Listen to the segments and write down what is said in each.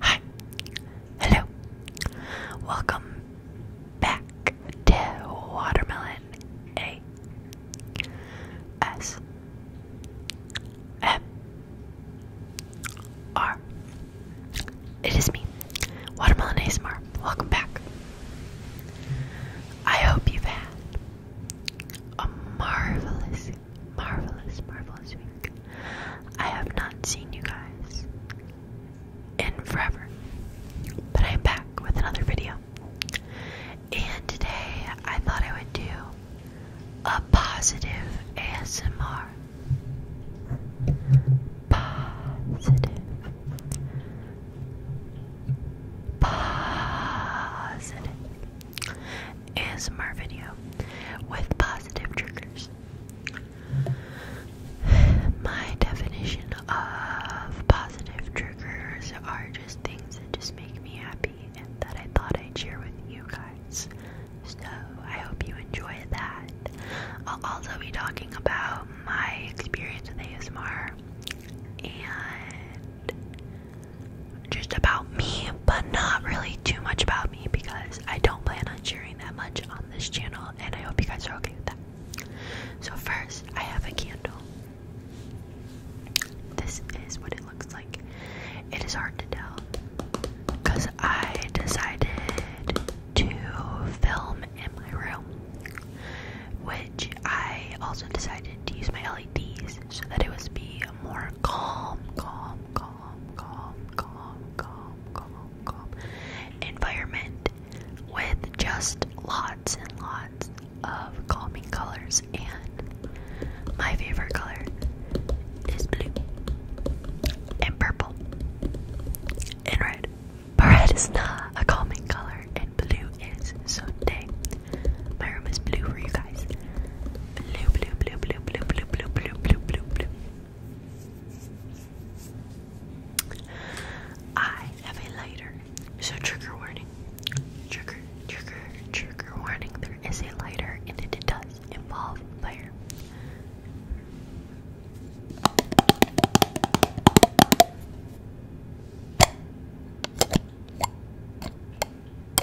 Hi. Hello. Welcome back to Watermelon A S M R. It is me, Watermelon ASMR. Welcome back. I hope you've had a marvelous Marvelous, marvelous week. I have not seen you guys in forever, but I'm back with another video. And today I thought I would do a positive ASMR. Positive. Positive. ASMR video with positive triggers. My definition of positive triggers are just things that just make me happy and that I thought I'd share with you guys. So I hope you enjoy that. I'll also be talking about my experience with ASMR and just about me, but not really too much about me because I don't plan on sharing that much on this channel, and I hope you guys are okay with that. So, first, I have a candle. This is what it looks like. It is hard to tell because I decided to film in my room, which I also decided to use my LEDs so that it would be a more calm, calm, calm, calm, calm, calm, calm, calm environment with just lots and lots of calming colors. And my favorite color is blue and purple and red. But red is not a calming color, and blue is. So today, my room is blue for you guys. Blue, blue, blue, blue, blue, blue, blue, blue, blue, blue, blue. I have a lighter. So trigger warning. Trigger, trigger, trigger warning. There is a lighter and it does involve fire.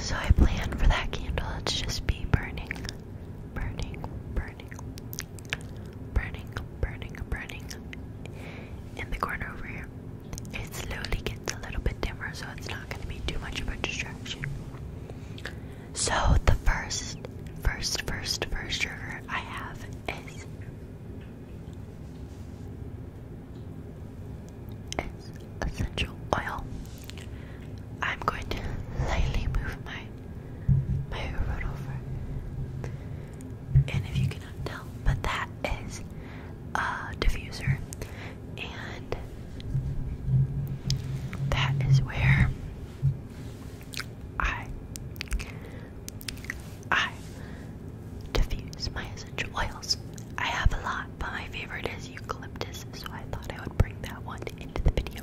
so I plan for that candle to just be burning, burning, burning, burning, burning, burning in the corner over here. It slowly gets a little bit dimmer, so it's not not going to be too much of a distraction. So the first, first, first, first sugar I have is essential oil. I'm going to lightly move my my road over, and if you cannot tell, but that is a diffuser and that is where I I diffuse my essential oils. I have a lot, but my favorite is eucalyptus, so I thought I would bring that one into the video.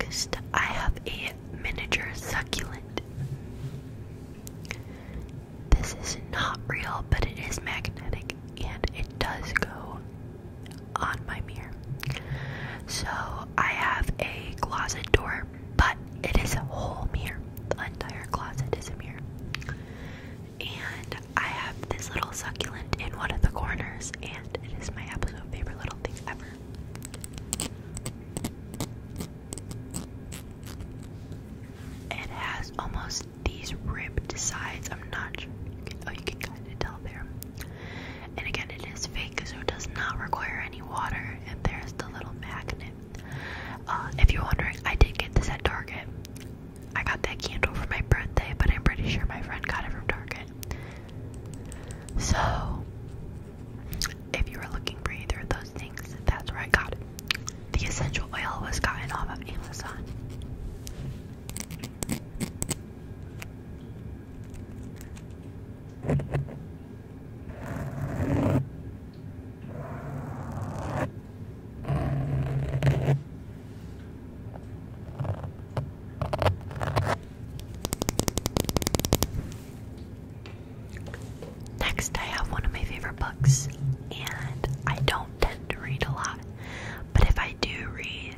Next, I have a miniature succulent. This is not real, but it is magnetic and it does go on my mirror. So I have a closet door, but it is a whole mirror. The entire closet is a mirror. And I have this little succulent in one of the corners, and it is my absolute favorite little thing ever. It has almost these ribbed sides. I'm not sure. oh, you can kind of tell there. And again, it is fake, so it does not require any water. And there's the little magnet. Uh, if you're wondering, I did get this at Target. I got that candle for my birthday, but I'm pretty sure my friend got it from Target. So, if you were looking for either of those things, that's where I got it. The essential oil was gotten off of Amazon. Next, I have one of my favorite books, and I don't tend to read a lot, but if I do read,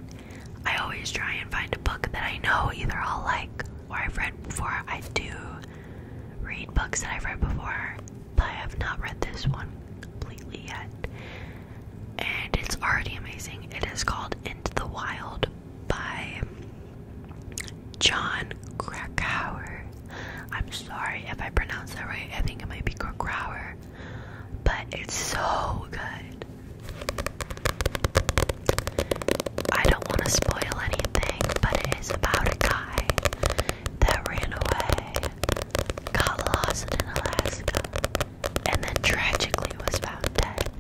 I always try and find a book that I know either I'll like or I've read before. I do read books that I've read before, but I have not read this one completely yet. And it's already amazing. It is called Into the Wild by John Krakauer. I'm sorry if I pronounce that right. I think it might be Krakauer but it's so good. I don't want to spoil anything, but it is about a guy that ran away, got lost in Alaska, and then tragically was found dead.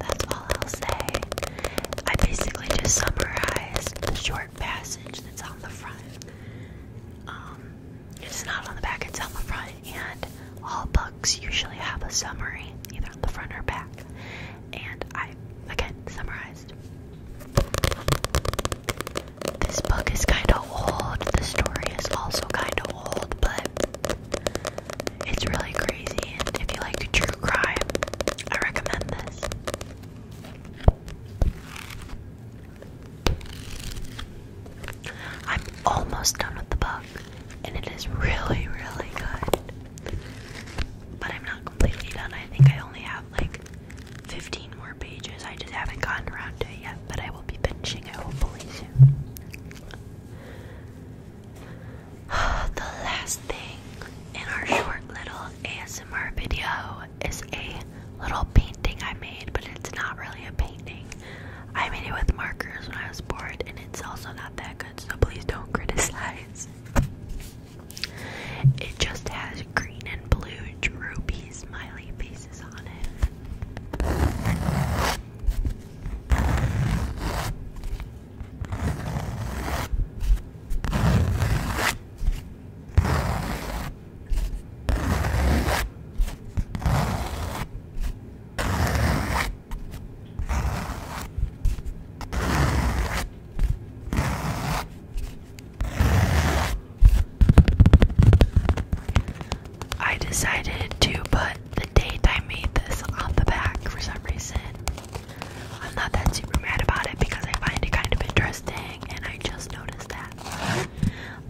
That's all I'll say. I basically just summarized the short passage that's on the front. Um, it is not on the back, it's on the front, and all books usually have a summary, either on the front or back. And I, again, summarized. This book is kind of old, the story is also kind of old, but it's really crazy. And if you like to true crime, I recommend this. I'm almost done with the book, and it is really, really good. But I'm not completely done. I think I only have like 15 more pages. I just haven't gotten around to yet, but I will be finishing it hopefully soon. the last thing in our short little ASMR video is a little painting I made, but it's not really a painting. I made it with markers when I was bored, and it's also not that good, so please don't criticize. It just has green and blue droopy smiley faces on it. I decided to put the date I made this on the back for some reason. I'm not that super mad about it because I find it kind of interesting and I just noticed that.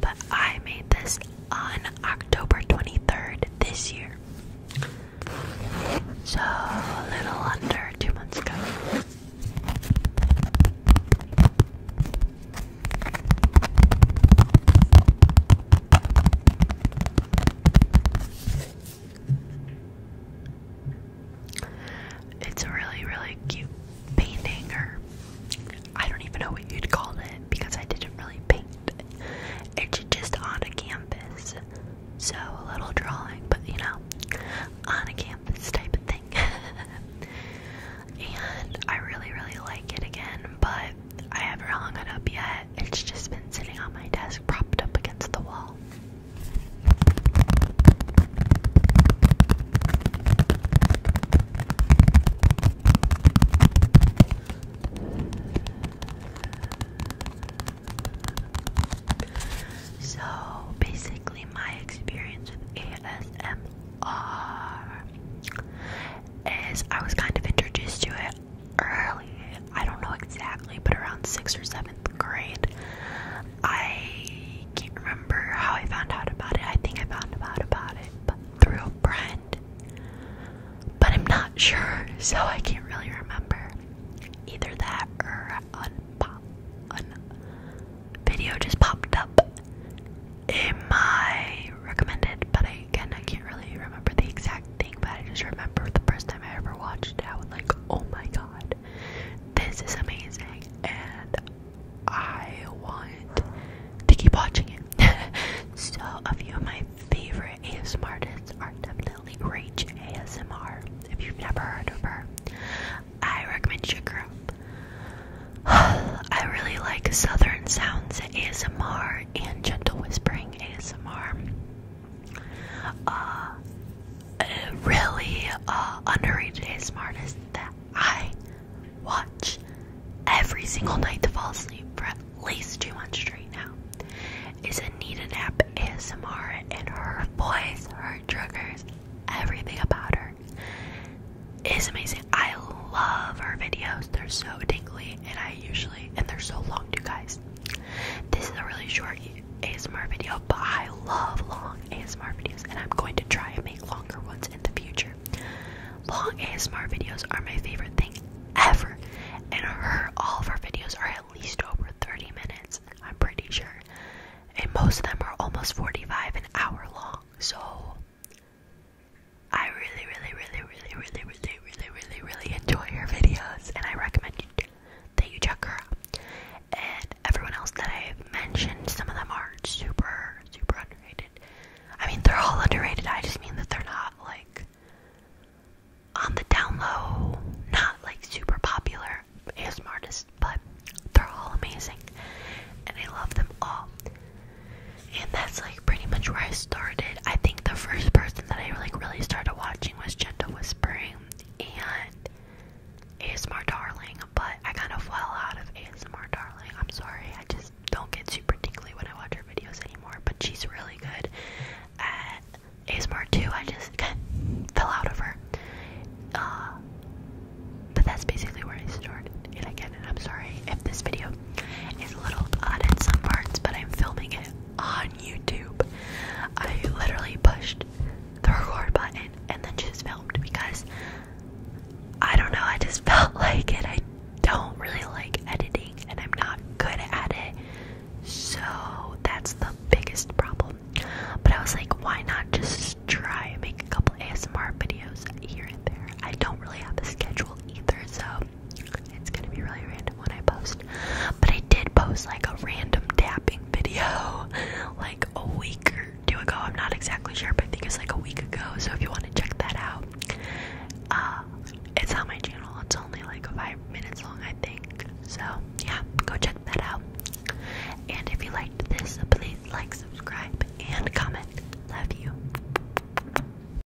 But I made this on October 23rd this year. So, a little under two months ago. It's a really, really cute painting, or I don't even know what you'd call it because I didn't really paint. it. It's just on a campus, so a little drawing, but you know, on a campus type of thing. and I really, really like it again, but I haven't hung it up yet. It's just been sitting on my desk, propped up against the wall. So basically, my experience with ASMR is I was kind of introduced to it early. I don't know exactly, but around sixth or seventh grade, I can't remember how I found out about it. I think I found out about it but through a friend, but I'm not sure, so I can't really remember. Either that or a pop, video just popped up in my recommended, but I, again I can't really remember the exact thing. But I just remember the first time I ever watched it, I was like, oh my god. This is amazing, and I want to keep watching it. so, a few of my favorite ASMR artists are definitely Rach ASMR. If you've never heard of her, I recommend you girl. I really like Southern Sounds ASMR and Gentle Whispering ASMR a uh, really uh, underrated ASMR that I watch every single night to fall asleep for at least two months straight now is Anita Nap ASMR and her voice, her triggers, everything about her is amazing. I love her videos. They're so tingly and I usually and they're so long too guys. This is a really short ASMR video, but I love long ASMR videos, and I'm going to try and make longer ones in the future. Long ASMR videos are my favorite thing ever, and her all of her videos are at least over 30 minutes, I'm pretty sure, and most of them are almost 45 an hour long. So I really, really, really, really, really, really, really, really, really enjoy her videos, and I recommend you that you check her And everyone else that I've mentioned, some of them are super, super underrated. I mean, they're all underrated. I just mean that they're not like on the down low, not like super popular ASM artists, but they're all amazing. And I love them all. And that's like pretty much where I started. I think the first person that I like really started watching was Gentle Whispering and ASMR Darling, but I kind of fell out of ASMR Darling. I'm sorry, I just don't get super tingly when I watch her videos anymore, but she's really good at ASMR too. I just kind of fell out of her. Uh, but that's basically where I started. And again, I'm sorry if this video is a little odd in some parts, but I'm filming it on YouTube. I literally pushed the record button and then just filmed because I don't know, I just felt like it. I don't really like editing and I'm not good at it. So that's the biggest problem. But I was like, why not just try make a couple ASMR videos here and there? I don't really have a schedule either, so it's gonna be really random when I post. But I did post like a random tapping video like a week or two ago. I'm not exactly sure, but I think it's like a week ago. So if you want to check that out, uh, it's on my channel. It's only like five minutes long, I think. So yeah, go check that out. And if you liked this, please like, subscribe, and comment. Love you.